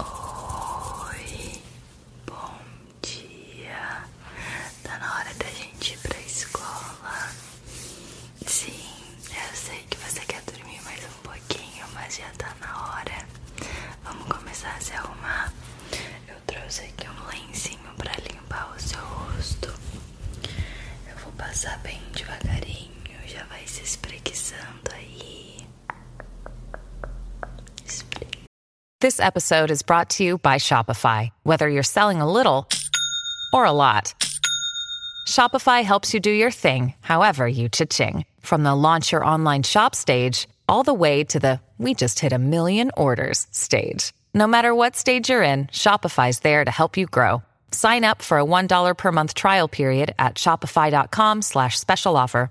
Oi, bom dia. Tá na hora da gente ir pra escola. Sim, eu sei que você quer dormir mais um pouquinho, mas já tá na hora. Vamos começar a se arrumar. Eu trouxe aqui um lencinho pra limpar o seu rosto. Eu vou passar bem devagarinho, já vai se espreguiçando aí. This episode is brought to you by Shopify. Whether you're selling a little or a lot, Shopify helps you do your thing, however you cha-ching. From the launch your online shop stage, all the way to the we just hit a million orders stage. No matter what stage you're in, Shopify's there to help you grow. Sign up for a $1 per month trial period at shopify.com slash special offer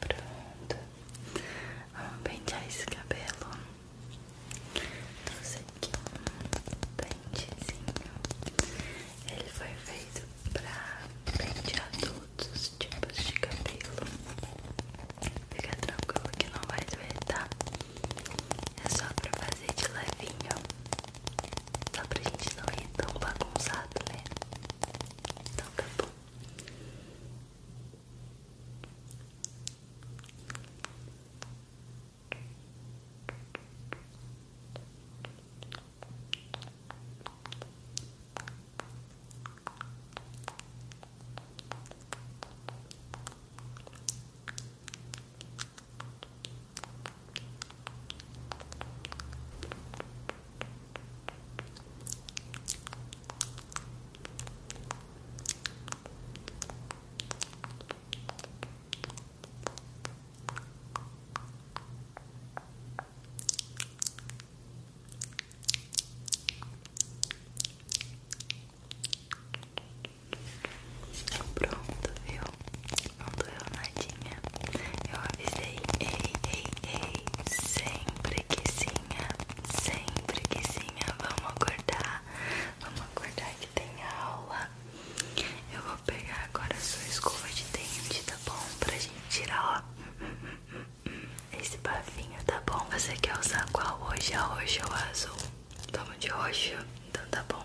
Pronto. Vamos pentear esse cabelo. Trouxe aqui um pentezinho. Ele foi feito pra pentear todos os tipos de cabelo. Fica tranquilo que não vai doer, tá? É só pra fazer de levinho. Só pra gente não ir tão bagunçado, né? Então tá bom. Pronto, viu? Não doeu nadinha. Eu avisei, ei, ei, ei, sempre quezinha sempre quezinha vamos acordar, vamos acordar que tem aula. Eu vou pegar agora a sua escova de dente, tá bom? Pra gente tirar, ó, esse bafinho, tá bom? Você quer usar qual hoje? A é roxa ou azul? Vamos de roxo? Então tá bom.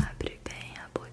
Abre bem a boca.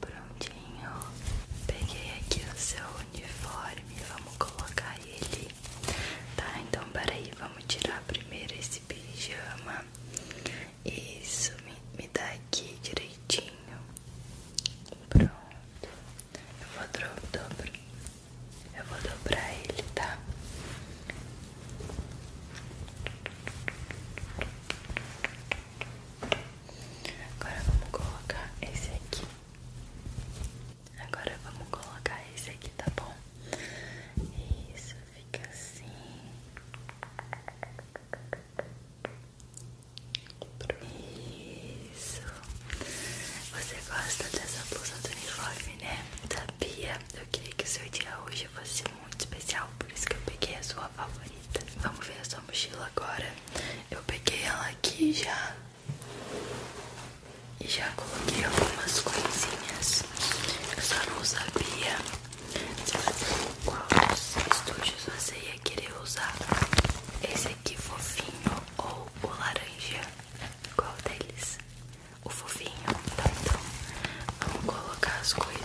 Prontinho. Peguei aqui o seu uniforme. Vamos colocar ele. Tá, então peraí. Vamos tirar primeiro esse pijama. Isso, me, me dá aqui direitinho. Pronto. Eu vou dobrar. Eu vou dobrar ele, tá? Agora vamos colocar esse aqui. Agora vamos colocar esse aqui, tá bom? Isso, fica assim. Isso. Você gosta dessa blusa do uniforme, né? Sabia? Eu queria que o seu dia hoje fosse muito especial, por isso que eu peguei a sua favorita. Vamos ver a sua mochila agora. Eu peguei ela aqui já e já coloquei algumas coisinhas. Eu só não sabia quais estudos você ia querer usar. Esse aqui fofinho ou o laranja? Qual deles? O fofinho, tá, então. Vamos colocar as coisas.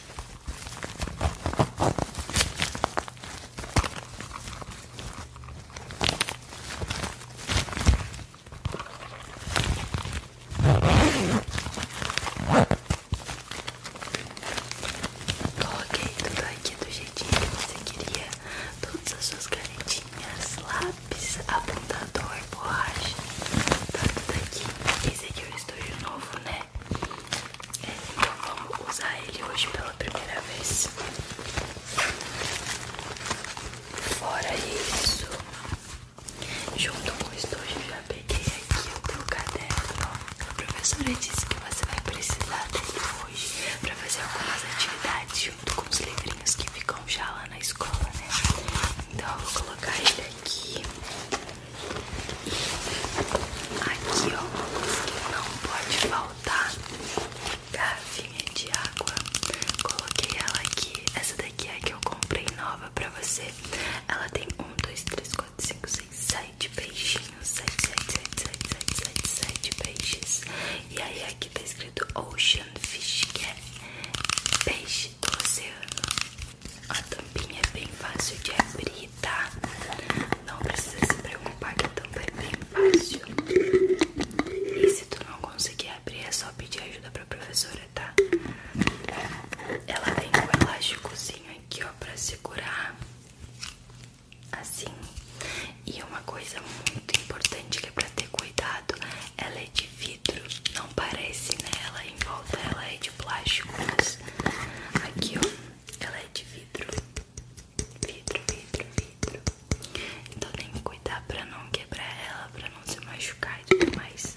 Coloquei tudo aqui do jeitinho que você queria, todas as suas canetinhas, lápis, apontador, borracha, tá tudo aqui. Esse aqui é o estúdio novo, né? né? Então vamos usar ele hoje pela primeira vez. Fora isso, junto com o estojo eu já peguei aqui o teu caderno. A professora disse que você vai precisar dele hoje para fazer algumas atividades junto com os livrinhos que ficam já lá na escola, né? Então eu vou colocar ele aqui. Aqui, ó, não pode faltar garrafinha de água. Coloquei ela aqui. Essa daqui é a que eu comprei nova pra você. Ela tem um, dois, três, quatro, cinco, seis, sete peixinhos. sete, sete, sete, sete, sete, sete 7 peixes. E aí aqui tá escrito Ocean Fish, que é peixe do oceano. A tampinha é bem fácil de abrir, tá? Não precisa se preocupar que a tampa é bem fácil. E se tu não conseguir abrir, é só pedir ajuda pra professora, tá? Ela tem um elásticozinho aqui, ó, pra segurar. Assim. E uma coisa muito importante que é pra ter cuidado, ela é de vidro, não parece, né? Ela em volta, ela é de plástico, mas aqui, ó, ela é de vidro. Vidro, vidro, vidro. Então tem que cuidar pra não quebrar ela, pra não se machucar e tudo mais.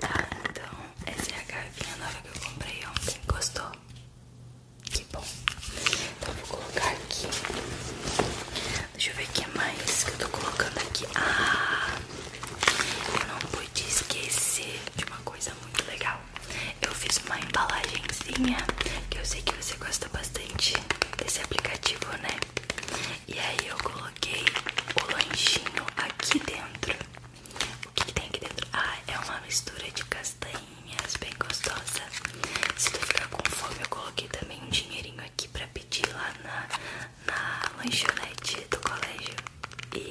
Tá, então essa é a garfinha nova que eu comprei ontem. Gostou? Que bom. Então vou colocar aqui. Deixa eu ver o que mais que eu tô colocando aqui. Ah! Eu não pude esquecer de uma coisa muito legal. Eu fiz uma embalagenzinha que eu sei que você gosta bastante desse aplicativo, né? E aí eu coloquei o lanchinho aqui dentro. O que, tem aqui dentro? Ah, é uma mistura de castanhas bem gostosa. Se tu ficar com fome, eu coloquei também um dinheirinho aqui pra pedir lá na, na lanchonete do colégio.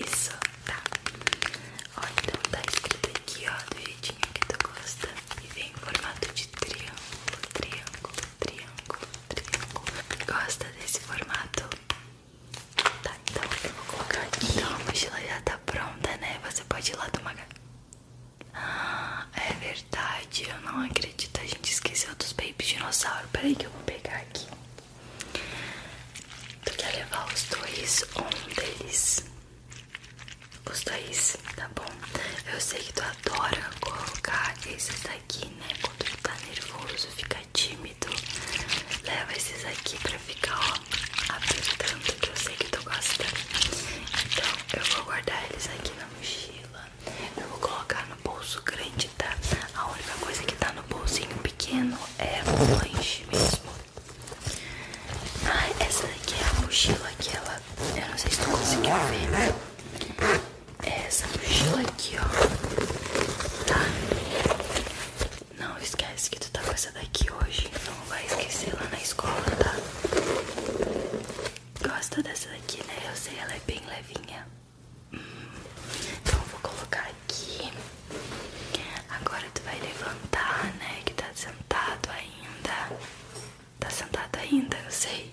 Isso, tá. Ó, então tá escrito aqui, ó, do jeitinho que tu gosta. E vem em formato de triângulo, triângulo, triângulo, triângulo. Gosta desse formato? Tá, então o eu vou colocar aqui. Então a mochila já tá pronta, né? Você pode ir lá tomar. Ah, é verdade, eu não acredito. A gente esqueceu dos baby dinossauro. Peraí que eu vou pegar aqui. Tu quer levar os dois um deles? Os dois, tá bom? Eu sei que tu adora colocar esses daqui, né? Quando tu tá nervoso, fica tímido. Leva esses aqui pra ficar, ó, apertando, que eu sei que tu gosta. Então, eu vou guardar eles aqui na mochila. Eu vou colocar no bolso grande tá? A única coisa que tá no bolsinho pequeno é o lanche mesmo. Ah, essa daqui é a mochila que ela. Eu não sei se tu conseguiu ver, É essa mochila aqui, ó. Tá? Não esquece que tu tá com essa daqui hoje. Não vai esquecer lá na escola, tá? Gosta dessa daqui, né? Eu sei, ela é bem levinha. Então vou colocar aqui. Agora tu vai levantar, né? Que tá sentado ainda. Tá sentado ainda, eu sei.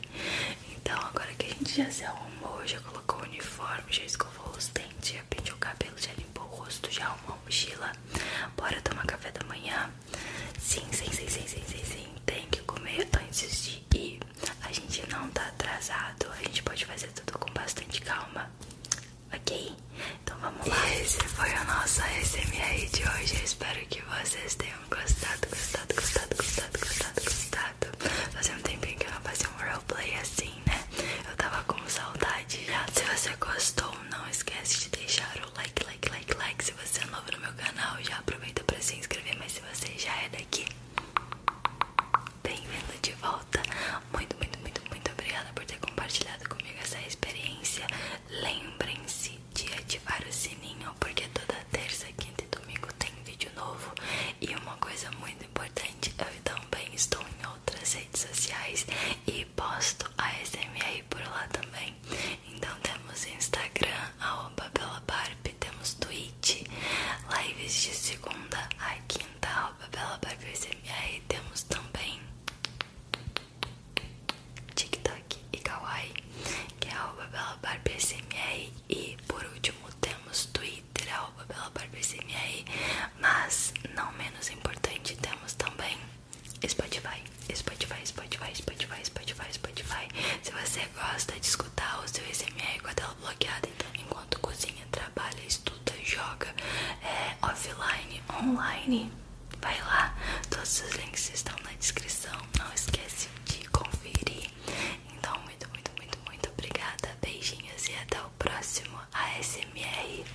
Então agora que a gente já se arrumou, já colocou o uniforme, já escovou os dentes, já penteou o cabelo, já limpou o rosto, já arrumou a mochila. Bora tomar café da manhã? Sim, sim, sim, sim, sim, sim, sim. Tem que comer antes de ir a gente não tá atrasado, a gente pode fazer tudo com bastante calma, ok? Então vamos lá. esse foi o nosso ASMR de hoje. Eu espero que vocês tenham gostado, gostado, gostado, gostado, gostado, gostado. Fazia um tempinho que eu não fazia um roleplay assim, né? Eu tava com saudade Se você gostou, não esquece de deixar o like, like, like, like. Se você é novo no meu canal, já aproveita pra se inscrever. Mas se você já é daqui, Bem-vindo de volta. Muito, muito, muito, muito obrigada por ter compartilhado comigo essa experiência. Lembrem-se de ativar o sininho, porque toda terça, quinta e domingo tem vídeo novo. E uma coisa muito importante, eu também estou em outras redes sociais e posto a SMR por lá também. Então temos Instagram, arroba Bela Barbie, temos Twitch, lives de segunda a quinta dental, tá, Babela Barber CMR e temos também TikTok e Kawaii, que é a Bela Barber CMR e por último temos Twitter, arroba é Bela Barber CMR, mas não menos importante temos também Spotify, Spotify, Spotify, Spotify, Spotify, Spotify. Se você gosta de escutar o seu SMR com a tela então, enquanto cozinha, trabalha, estuda, joga, é, offline, online, vai lá. Todos os links estão na descrição. Não esquece de conferir. Então, muito, muito, muito, muito obrigada. Beijinhos e até o próximo ASMR.